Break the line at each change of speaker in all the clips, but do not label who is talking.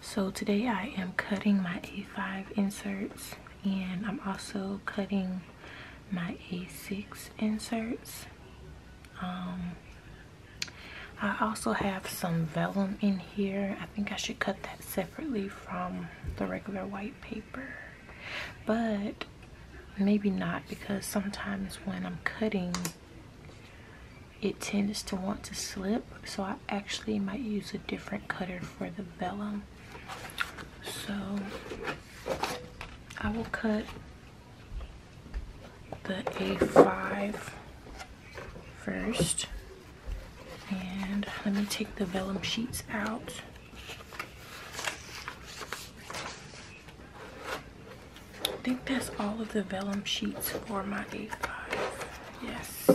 So today I am cutting my A5 inserts and I'm also cutting my A6 inserts. Um, I also have some vellum in here. I think I should cut that separately from the regular white paper. But maybe not because sometimes when I'm cutting it tends to want to slip so I actually might use a different cutter for the vellum so I will cut the A5 first and let me take the vellum sheets out I think that's all of the vellum sheets for my A5. Yes.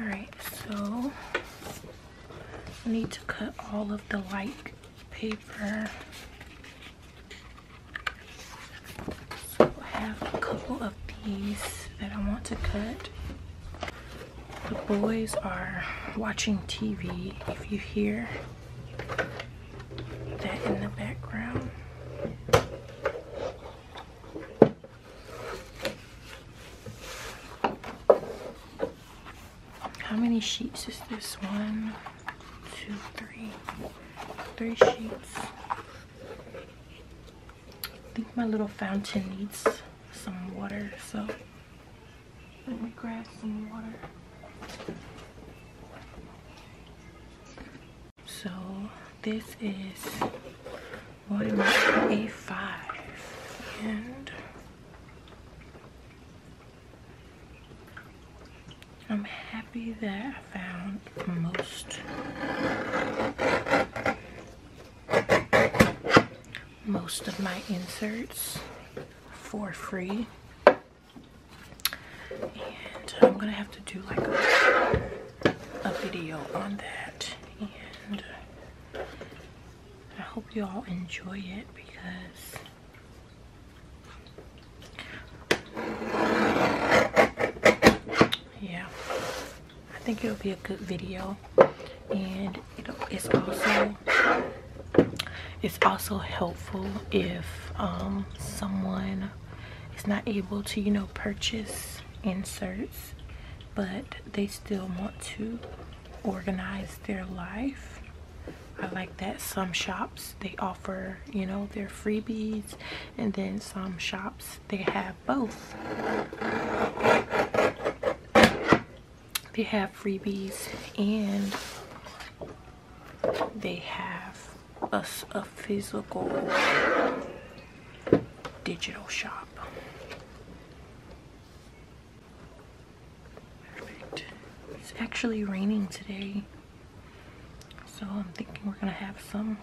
Alright, so need to cut all of the light paper. So I have a couple of these that I want to cut. The boys are watching TV. If you hear that in the background. How many sheets is this? One, two, three, three sheets. I think my little fountain needs some water, so let me grab some water. So this is 185 and I'm happy that I found most most of my inserts for free. And I'm gonna have to do like a, video on that. And I hope you all enjoy it because yeah i think it'll be a good video and it's also it's also helpful if um, someone is not able to you know purchase inserts but they still want to organize their life I like that some shops they offer you know their freebies and then some shops they have both they have freebies and they have us a physical digital shop perfect it's actually raining today so I'm thinking we're gonna have some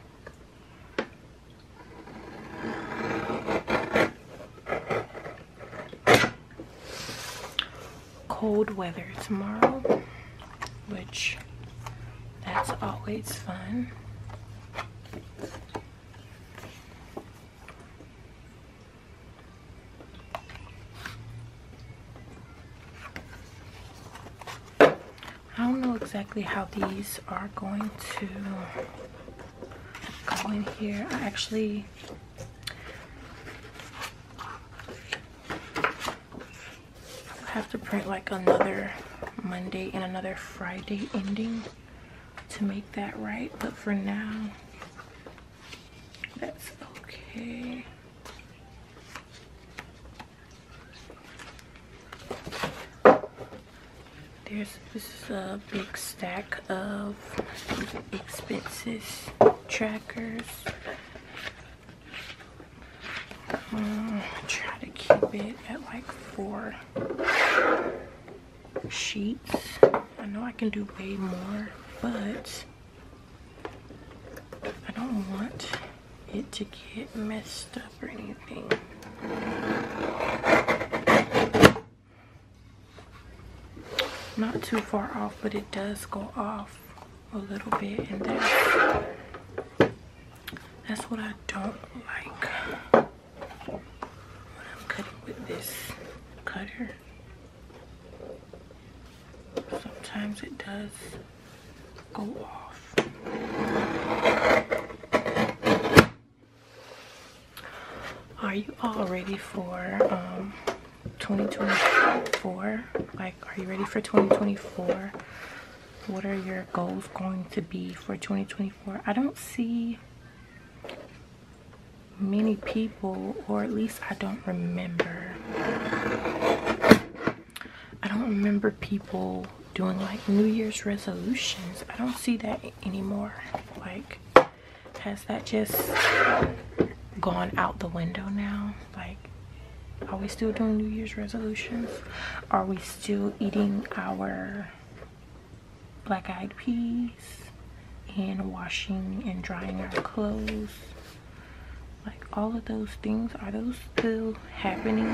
cold weather tomorrow, which that's always fun. I don't know exactly how these are going to go in here. I actually I have to print like another Monday and another Friday ending to make that right. But for now, that's okay. There's, this uh, big stack of expenses trackers. Um, try to keep it at like four sheets. I know I can do way more, but I don't want it to get messed up or anything. Not too far off, but it does go off a little bit and that's, that's what I don't like when I'm cutting with this cutter. Sometimes it does go off. Are you all ready for 2024? Um, like, are you ready for 2024? What are your goals going to be for 2024? I don't see many people, or at least I don't remember. I don't remember people doing like New Year's resolutions. I don't see that anymore. Like, has that just gone out the window now like are we still doing new year's resolutions are we still eating our black eyed peas and washing and drying our clothes like all of those things are those still happening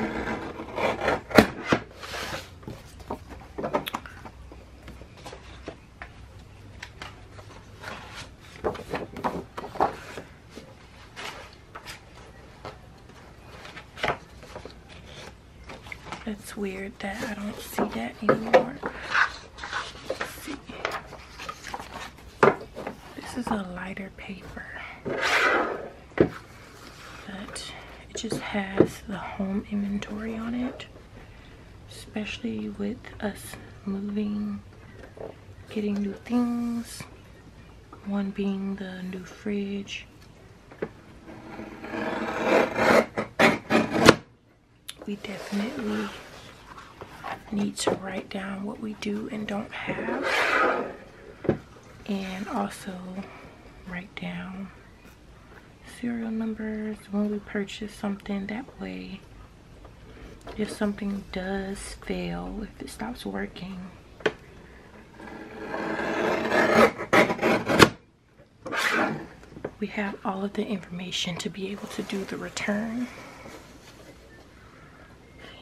it's weird that I don't see that anymore. This is a lighter paper. But it just has the home inventory on it especially with us moving getting new things one being the new fridge we definitely need to write down what we do and don't have and also write down serial numbers when we purchase something that way if something does fail if it stops working we have all of the information to be able to do the return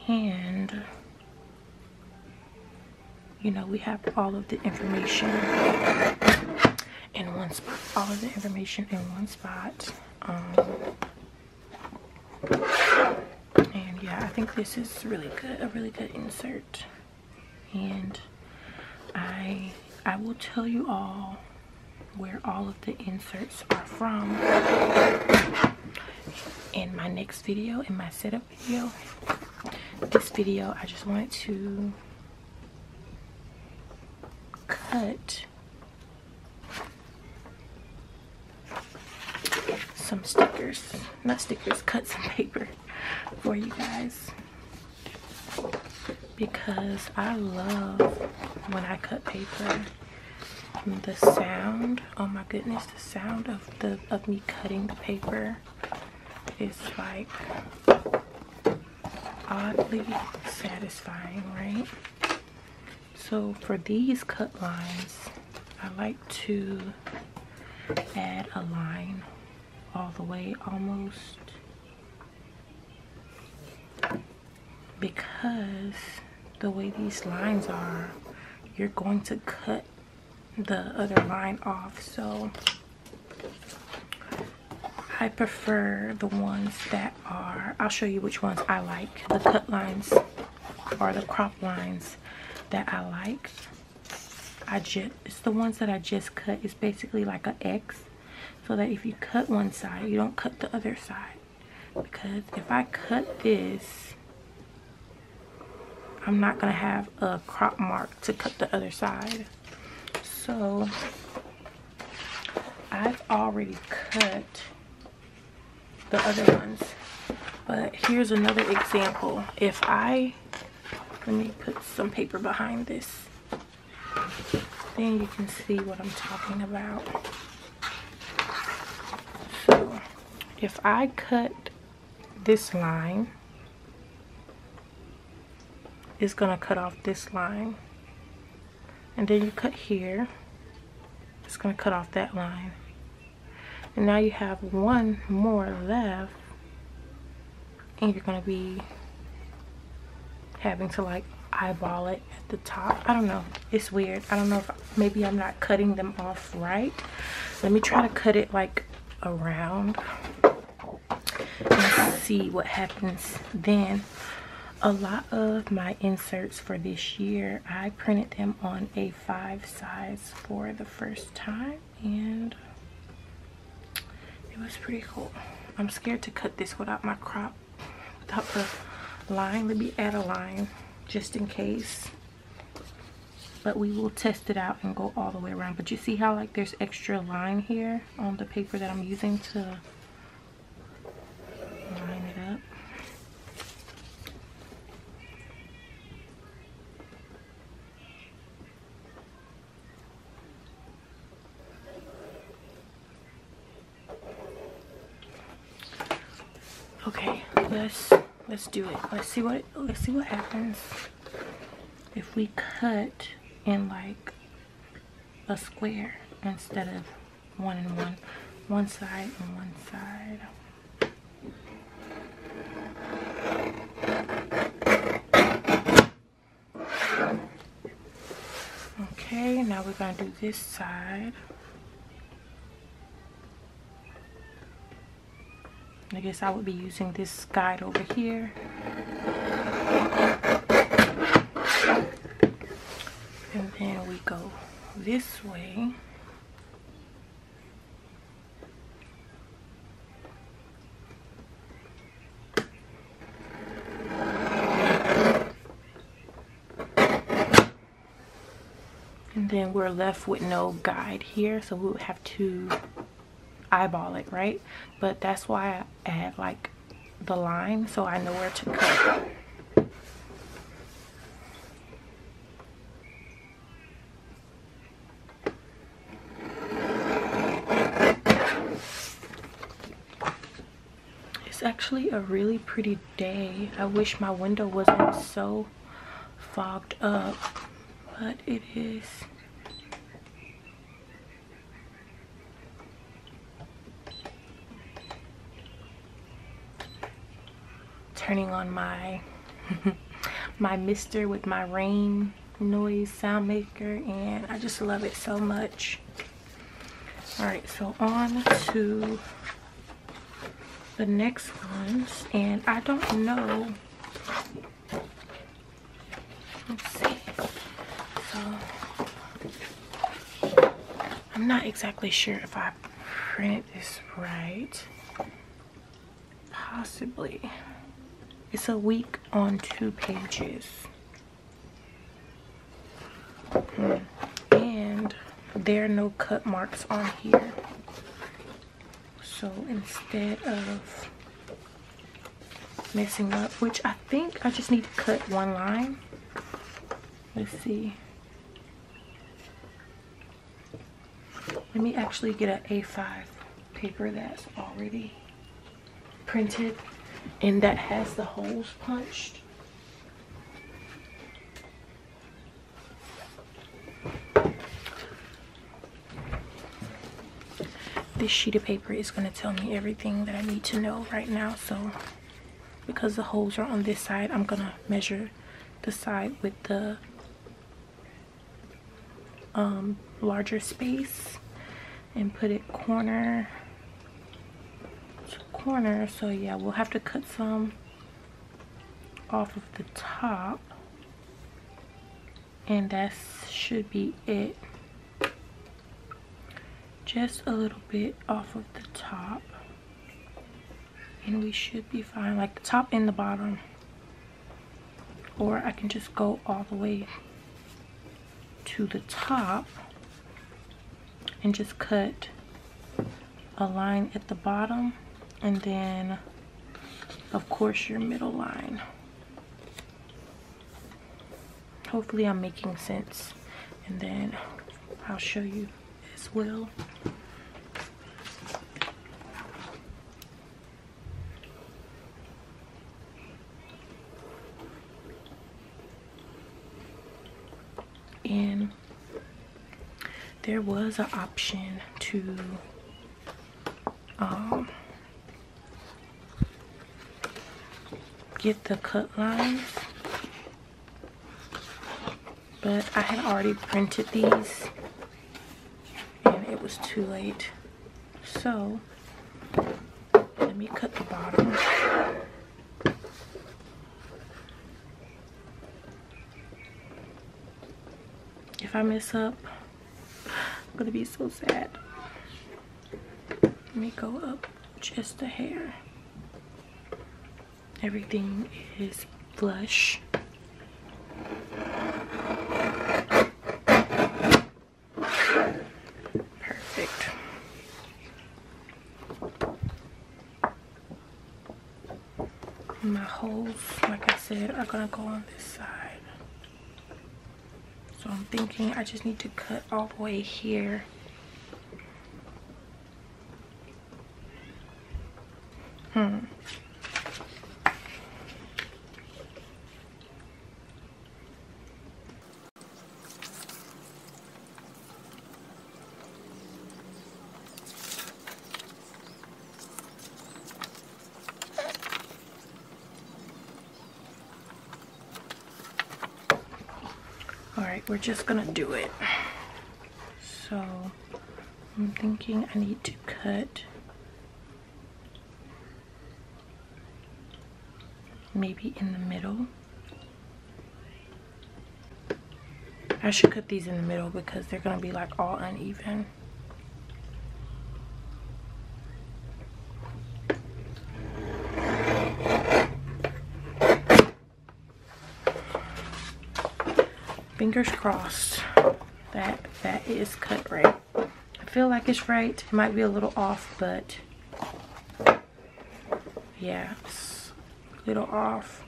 and you know we have all of the information in one spot, all of the information in one spot. Um, and yeah, I think this is really good, a really good insert. And I I will tell you all where all of the inserts are from in my next video, in my setup video. This video, I just want to cut some stickers, not stickers, cut some paper for you guys because I love when I cut paper the sound oh my goodness the sound of the of me cutting the paper is like oddly satisfying, right? So for these cut lines, I like to add a line all the way almost because the way these lines are, you're going to cut the other line off. So I prefer the ones that are, I'll show you which ones I like. The cut lines are the crop lines that I like. I just, it's the ones that I just cut. It's basically like an X. So that if you cut one side, you don't cut the other side. Because if I cut this, I'm not going to have a crop mark to cut the other side so I've already cut the other ones but here's another example if I let me put some paper behind this then you can see what I'm talking about so if I cut this line is going to cut off this line and then you cut here it's going to cut off that line and now you have one more left and you're going to be having to like eyeball it at the top i don't know it's weird i don't know if maybe i'm not cutting them off right let me try to cut it like around and see what happens then a lot of my inserts for this year i printed them on a five size for the first time and it was pretty cool i'm scared to cut this without my crop without the line let me add a line just in case but we will test it out and go all the way around but you see how like there's extra line here on the paper that I'm using to line it up. Okay, let's let's do it. Let's see what let's see what happens if we cut in like a square instead of one and one. One side and one side. Okay, now we're going to do this side. I guess I would be using this guide over here. And then we go this way. And then we're left with no guide here, so we would have to eyeball it, right? But that's why add like the line so I know where to cut. It's actually a really pretty day. I wish my window wasn't so fogged up, but it is turning on my my mister with my rain noise sound maker and I just love it so much all right so on to the next ones and I don't know I'm not exactly sure if I printed this right. Possibly. It's a week on two pages. Hmm. And there are no cut marks on here. So instead of messing up which I think I just need to cut one line let's see let me actually get an A5 paper that's already printed and that has the holes punched this sheet of paper is going to tell me everything that I need to know right now. So because the holes are on this side, I'm going to measure the side with the um, larger space and put it corner to corner. So yeah, we'll have to cut some off of the top and that should be it just a little bit off of the top and we should be fine like the top and the bottom or I can just go all the way to the top and just cut a line at the bottom and then of course your middle line hopefully i'm making sense and then i'll show you as well and there was an option to um, get the cut lines but I had already printed these and it was too late so let me cut the bottom if I mess up I'm gonna be so sad let me go up just a hair. Everything is flush. Perfect. My holes, like I said, are gonna go on this side. So I'm thinking I just need to cut all the way here. Hmm. All right, we're just gonna do it. So I'm thinking I need to cut maybe in the middle. I should cut these in the middle because they're gonna be like all uneven. Fingers crossed that that is cut right. I feel like it's right. It might be a little off, but yeah, it's a little off.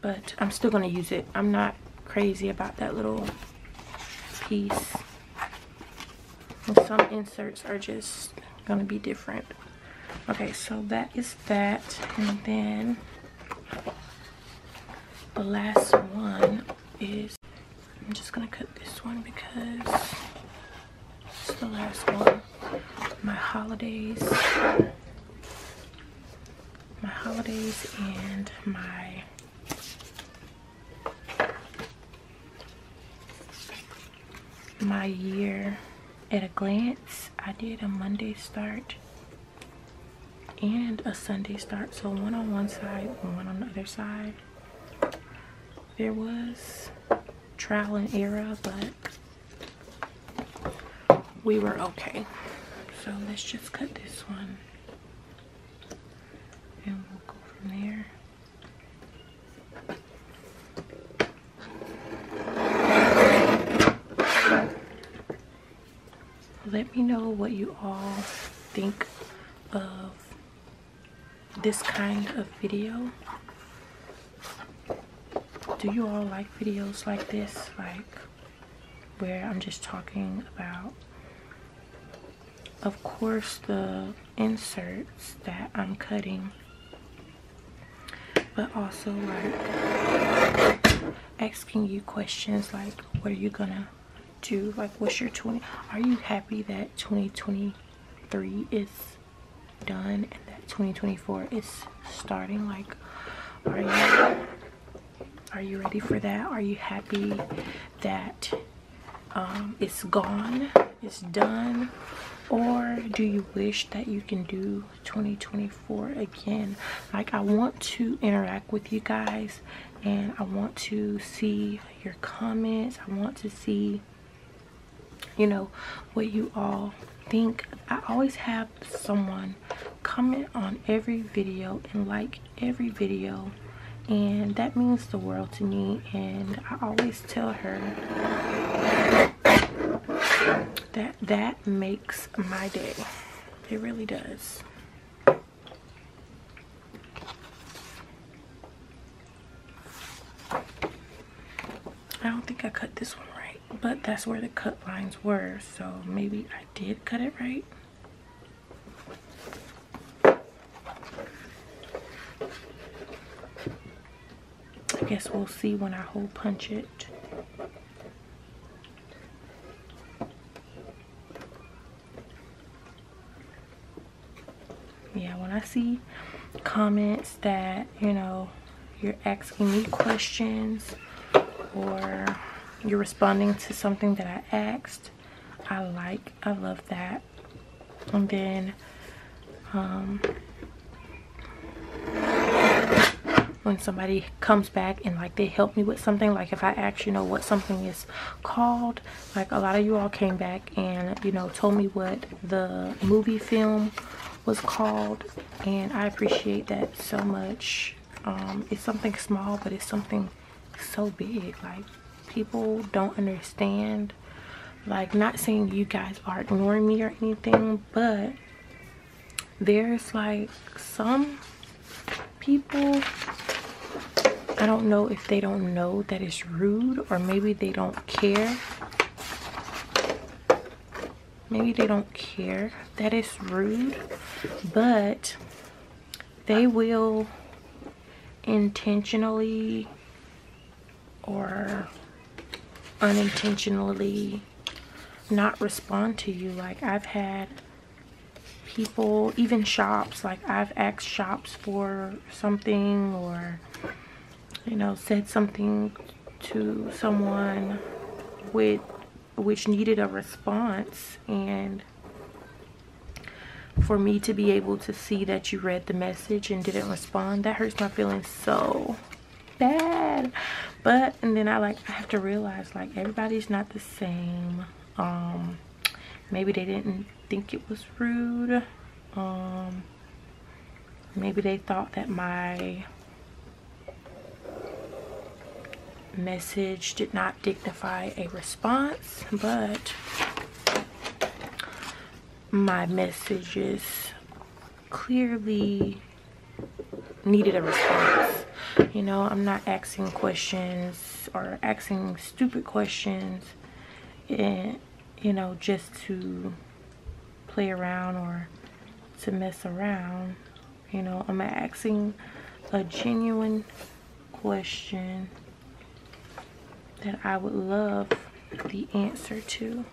But I'm still going to use it. I'm not crazy about that little piece some inserts are just going to be different. Okay, so that is that. And then the last one is, I'm just going to cut this one because it's the last one. My holidays, my holidays and my my year at a glance I did a Monday start and a Sunday start so one on one side one on the other side there was trial and error but we were okay so let's just cut this one and we'll go from there. Let me know what you all think of this kind of video. Do you all like videos like this? Like where I'm just talking about of course the inserts that I'm cutting but also like asking you questions like what are you gonna do like what's your 20 are you happy that 2023 is done and that 2024 is starting like are you are you ready for that? Are you happy that um, it's gone? It's done? Or do you wish that you can do 2024 again? Like, I want to interact with you guys and I want to see your comments. I want to see, you know, what you all think. I always have someone comment on every video and like every video and that means the world to me and I always tell her that that makes my day it really does I don't think I cut this one right but that's where the cut lines were so maybe I did cut it right I guess we'll see when I hole punch it. Yeah, when I see comments that, you know, you're asking me questions or you're responding to something that I asked, I like. I love that. And then, um, when somebody comes back and like they help me with something, like if I ask, you know, what something is called, like a lot of you all came back and, you know, told me what the movie film was called. And I appreciate that so much. Um, it's something small, but it's something so big like people don't understand like not saying you guys are ignoring me or anything but there's like some people I don't know if they don't know that it's rude or maybe they don't care maybe they don't care that it's rude but they will intentionally or unintentionally not respond to you. Like I've had people, even shops, like I've asked shops for something or, you know, said something to someone with which needed a response and for me to be able to see that you read the message and didn't respond that hurts my feelings so bad but and then i like i have to realize like everybody's not the same um maybe they didn't think it was rude um maybe they thought that my message did not dignify a response, but my messages clearly needed a response. You know, I'm not asking questions or asking stupid questions and you know, just to play around or to mess around. You know, I'm asking a genuine question that I would love the answer to.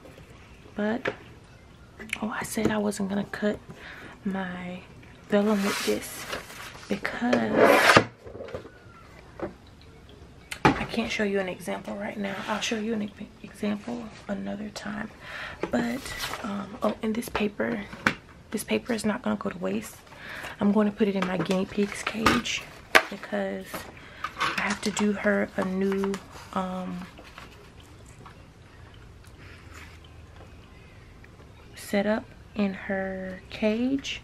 But, oh, I said I wasn't going to cut my vellum with this because I can't show you an example right now. I'll show you an example another time. But, um, oh, in this paper, this paper is not going to go to waste. I'm going to put it in my guinea pig's cage because I have to do her a new um, setup in her cage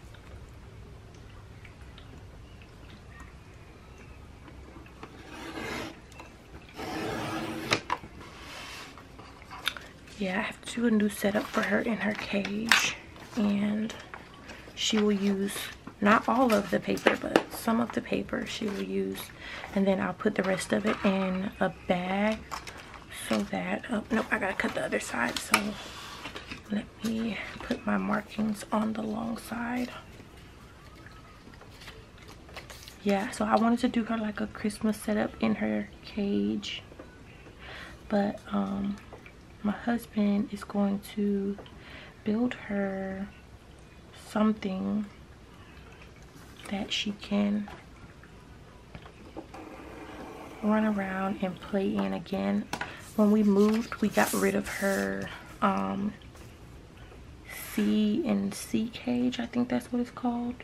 yeah, I have to do a new setup for her in her cage. And she will use not all of the paper, but some of the paper she will use. And then I'll put the rest of it in a bag so that, oh, nope, I gotta cut the other side. So let me put my markings on the long side. Yeah, so I wanted to do her like a Christmas setup in her cage but um, my husband is going to build her something that she can run around and play in again when we moved we got rid of her um, and C cage I think that's what it's called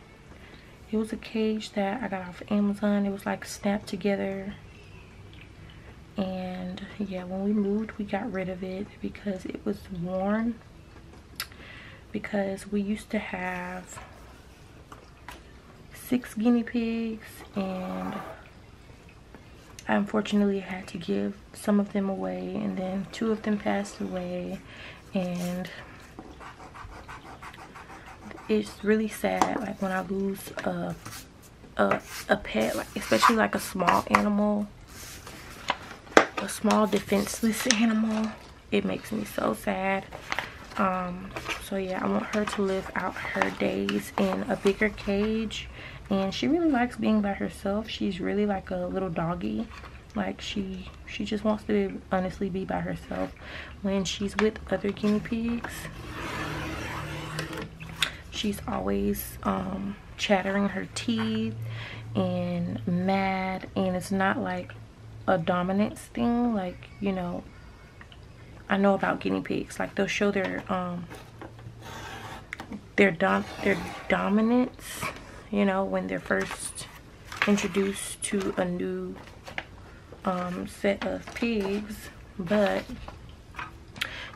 it was a cage that I got off Amazon. It was like snapped together. And yeah, when we moved, we got rid of it because it was worn. Because we used to have six guinea pigs and I unfortunately had to give some of them away and then two of them passed away and it's really sad like when I lose a a, pet like, especially like a small animal a small defenseless animal it makes me so sad um, so yeah I want her to live out her days in a bigger cage and she really likes being by herself she's really like a little doggy like she she just wants to honestly be by herself when she's with other guinea pigs. She's always um, chattering her teeth and mad and it's not like a dominance thing like you know I know about guinea pigs like they'll show their um, their dom their dominance you know when they're first introduced to a new um, set of pigs, but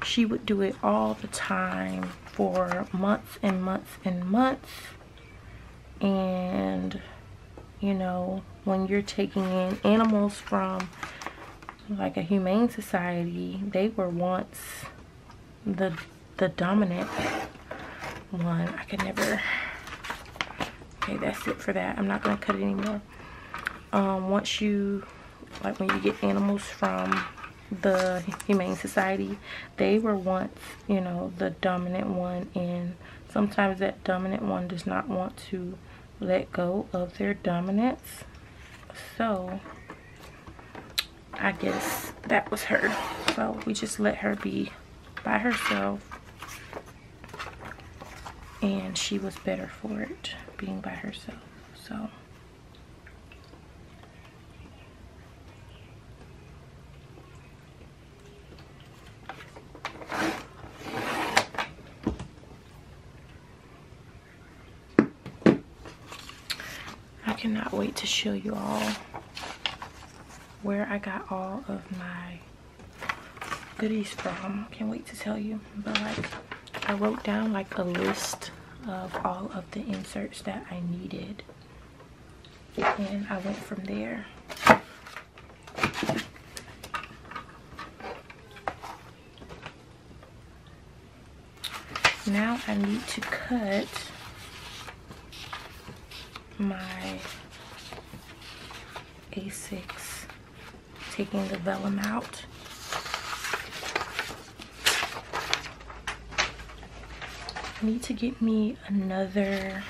she would do it all the time for months and months and months. And, you know, when you're taking in animals from like a humane society, they were once the the dominant one. I could never okay that's it for that i'm not going to cut it anymore um, once you like when you get animals from the humane society they were once you know the dominant one and sometimes that dominant one does not want to let go of their dominance so i guess that was her so we just let her be by herself and she was better for it being by herself so I cannot wait to show you all where I got all of my goodies from. Can't wait to tell you. But like I wrote down like a list of all of the inserts that I needed. And I went from there. Now I need to cut my a6, taking the vellum out. I need to get me another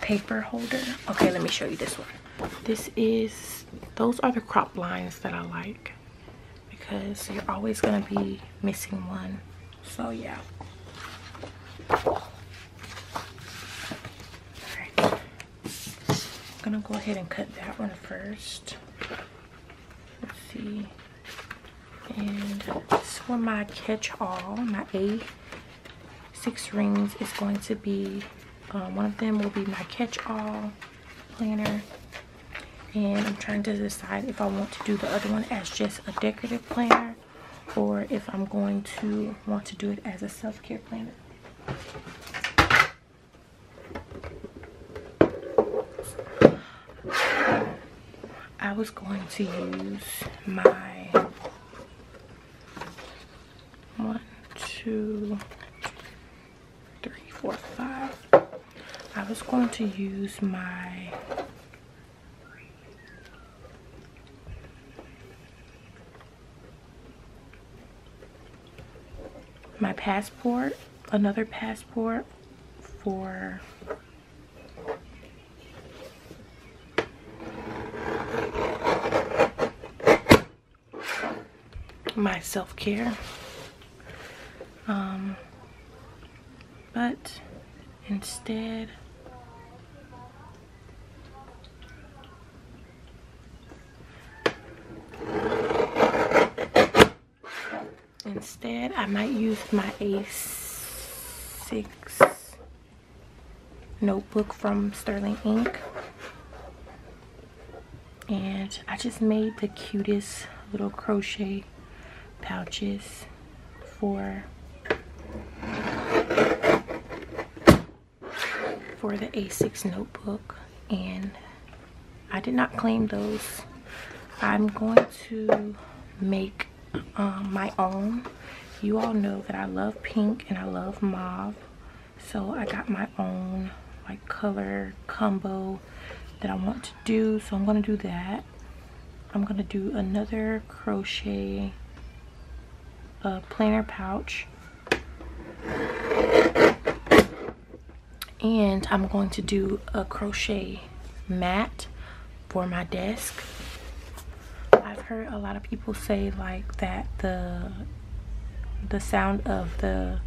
paper holder. Okay, let me show you this one. This is, those are the crop lines that I like because you're always gonna be missing one. So yeah. I'm gonna go ahead and cut that one first. Let's see. And this one, my catch-all, my A six rings is going to be, um, one of them will be my catch-all planner. And I'm trying to decide if I want to do the other one as just a decorative planner or if I'm going to want to do it as a self-care planner. I was going to use my one, two, three, four, five. I was going to use my my passport, another passport for my self-care. Um, but instead, Instead, I might use my A6 notebook from Sterling Ink. And I just made the cutest little crochet pouches for for the A6 notebook and I did not claim those. I'm going to make um, my own. You all know that I love pink and I love mauve. So I got my own like color combo that I want to do. So I'm going to do that. I'm going to do another crochet a planner pouch. And I'm going to do a crochet mat for my desk. I've heard a lot of people say like that the the sound of the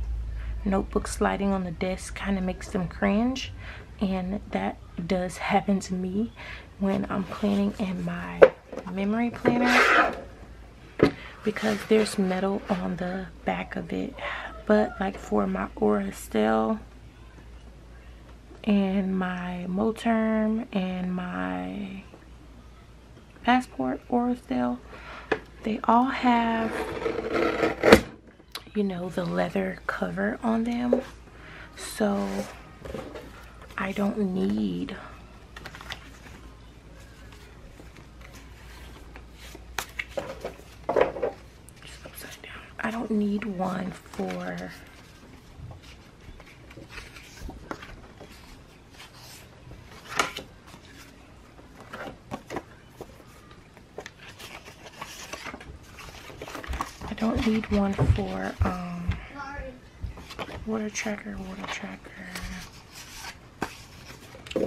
notebook sliding on the desk kind of makes them cringe and that does happen to me when I'm planning in my memory planner because there's metal on the back of it but like for my Aura and my Moterm and my Passport Aura they all have you know the leather cover on them so I don't need I don't need one for I don't need one for um, water tracker, water tracker,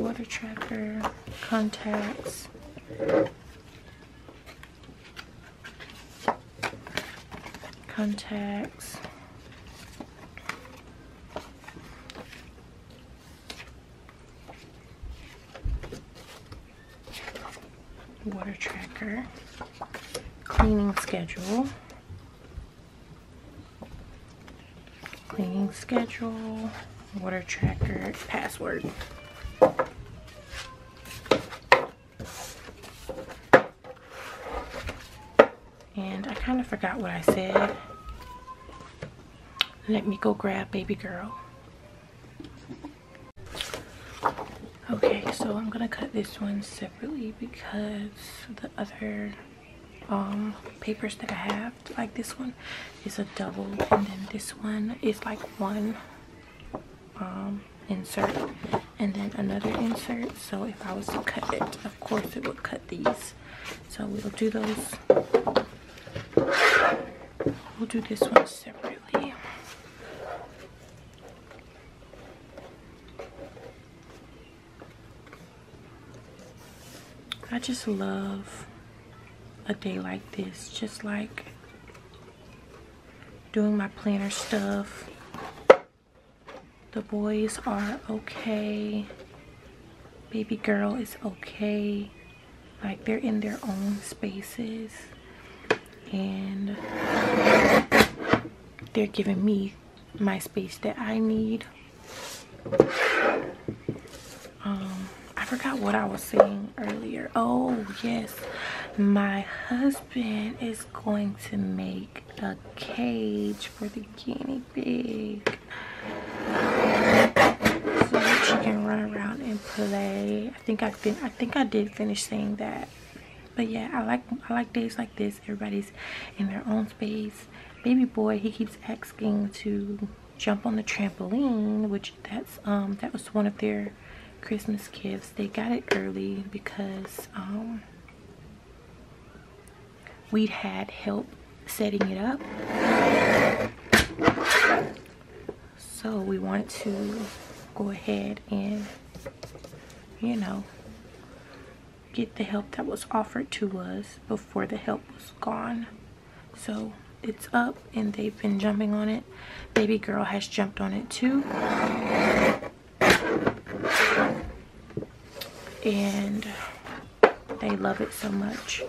water tracker, contacts. Contacts water tracker, cleaning schedule, cleaning schedule, water tracker, password. And I kind of forgot what I said. Let me go grab baby girl okay so i'm gonna cut this one separately because the other um, papers that i have like this one is a double and then this one is like one um, insert and then another insert so if i was to cut it of course it would cut these so we'll do those we'll do this one separately I just love a day like this. Just like doing my planner stuff. The boys are okay. Baby girl is okay. Like they're in their own spaces and they're giving me my space that I need. Um, I forgot what I was saying earlier. Oh, yes. My husband is going to make a cage for the guinea pig. So she can run around and play. I think I fin I think I did finish saying that but yeah i like i like days like this everybody's in their own space baby boy he keeps asking to jump on the trampoline which that's um that was one of their christmas gifts they got it early because um we had help setting it up so we wanted to go ahead and you know, get the help that was offered to us before the help was gone. So it's up and they've been jumping on it. Baby girl has jumped on it too. And they love it so much.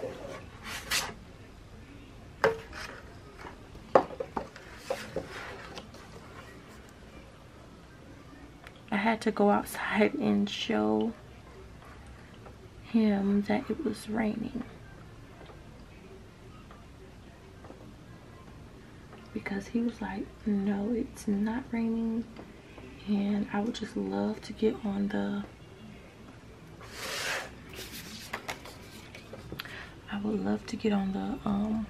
I had to go outside and show him that it was raining. Because he was like, no, it's not raining. And I would just love to get on the I would love to get on the um,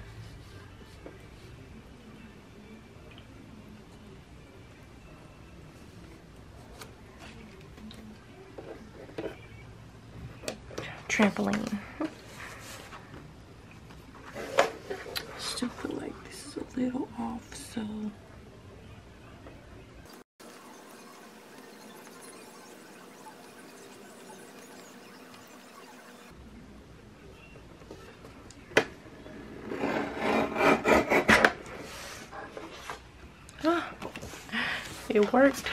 trampoline. Still feel like this is a little off, so it worked.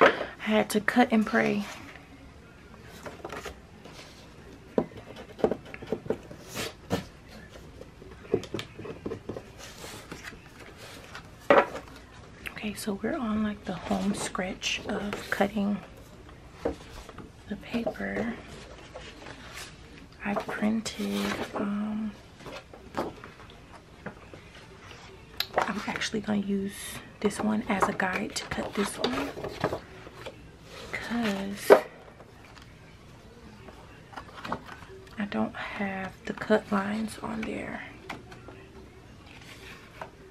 I had to cut and pray. Okay, so we're on like the home stretch of cutting the paper. I have printed, um, I'm actually going to use this one as a guide to cut this one because I don't have the cut lines on there.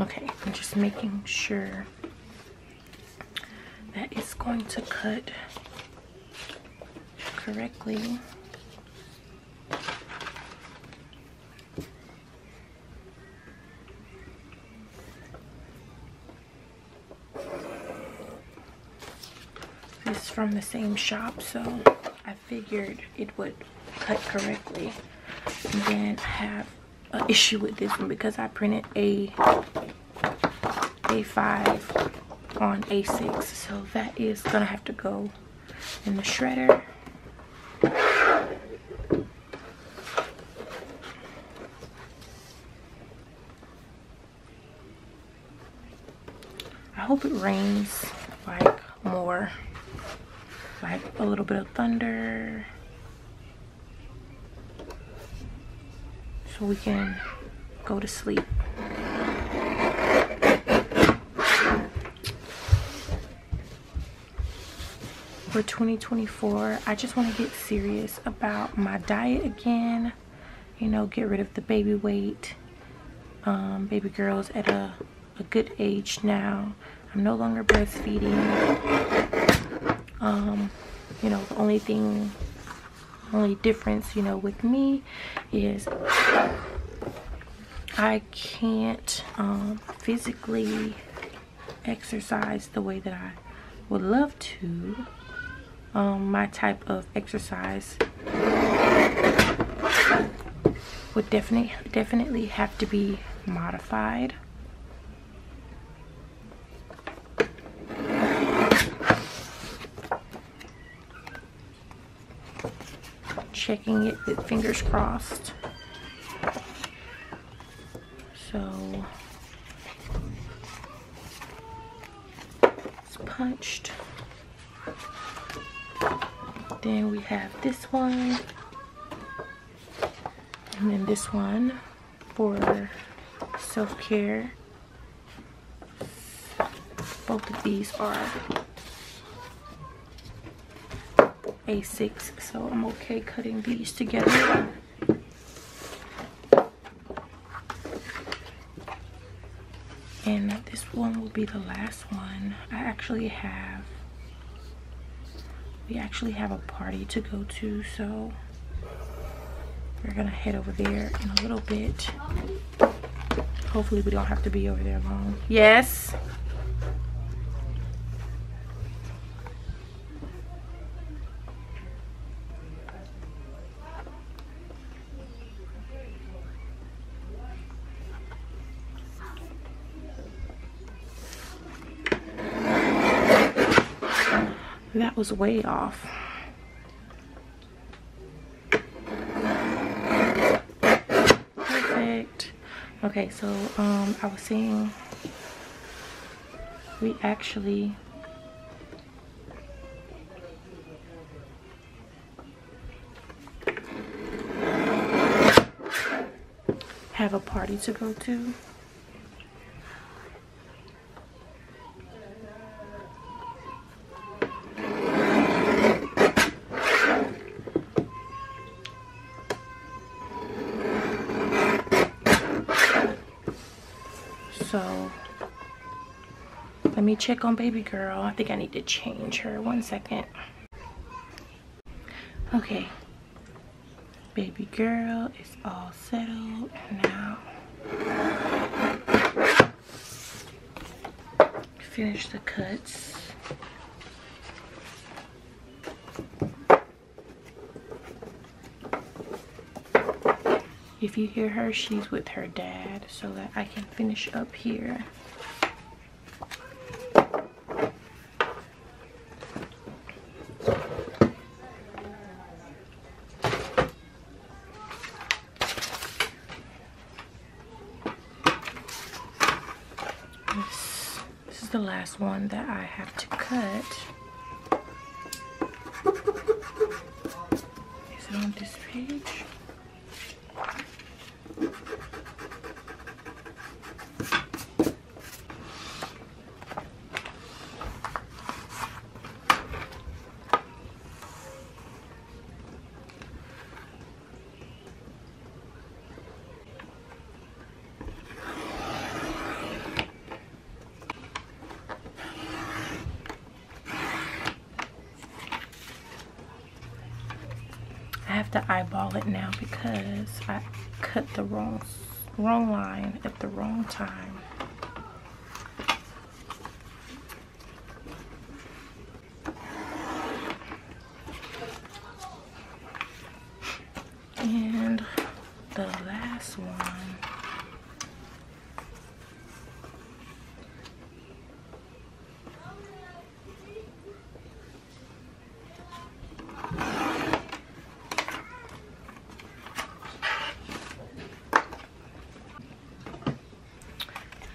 Okay, I'm just making sure that it's going to cut correctly. This is from the same shop, so I figured it would cut correctly. then I have an issue with this one because I printed a A5 on A6. So that is gonna have to go in the shredder. I hope it rains like more, like a little bit of thunder. So we can go to sleep for 2024 i just want to get serious about my diet again you know get rid of the baby weight um, baby girls at a, a good age now i'm no longer breastfeeding um, you know the only thing only difference you know with me is i can't um, physically exercise the way that I would love to. Um, my type of exercise would definitely definitely have to be modified. Checking it fingers crossed. So it's punched. Then we have this one. And then this one for self-care. Both of these are A6, so I'm okay cutting these together. And this one will be the last one. I actually have, we actually have a party to go to, so we're gonna head over there in a little bit. Hopefully we don't have to be over there long. Yes? That was way off. Perfect. Okay, so um, I was saying we actually have a party to go to. So let me check on baby girl. I think I need to change her. One second. Okay. Baby girl is all settled now. Finish the cuts. If you hear her, she's with her dad so that I can finish up here. This is the last one that I have to cut. Is it on this page? I have to eyeball it now because I cut the wrong wrong line at the wrong time. And the last one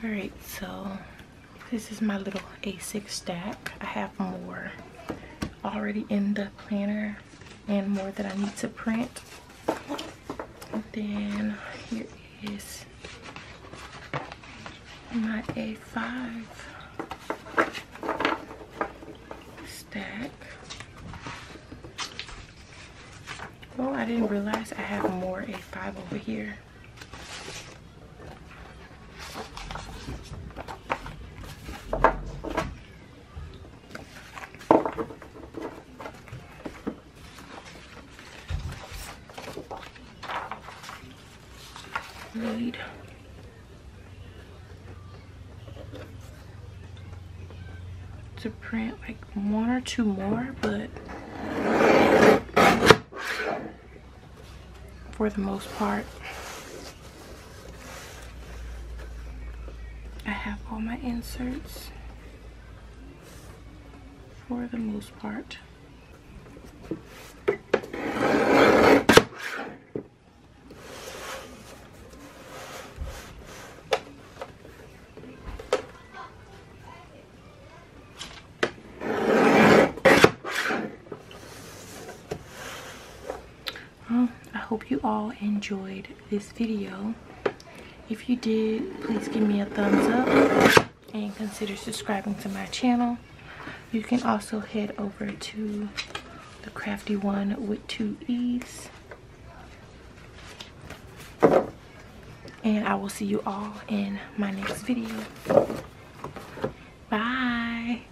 All right, so this is my little A6 stack. I have more already in the planner and more that I need to print. then here is my A5 stack. Oh, I didn't realize I have more A5 over here. Need. to print like one or two more but for the most part I have all my inserts for the most part. I hope you all enjoyed this video. If you did, please give me a thumbs up and consider subscribing to my channel. You can also head over to the crafty one with two E's. And I will see you all in my next video. Bye.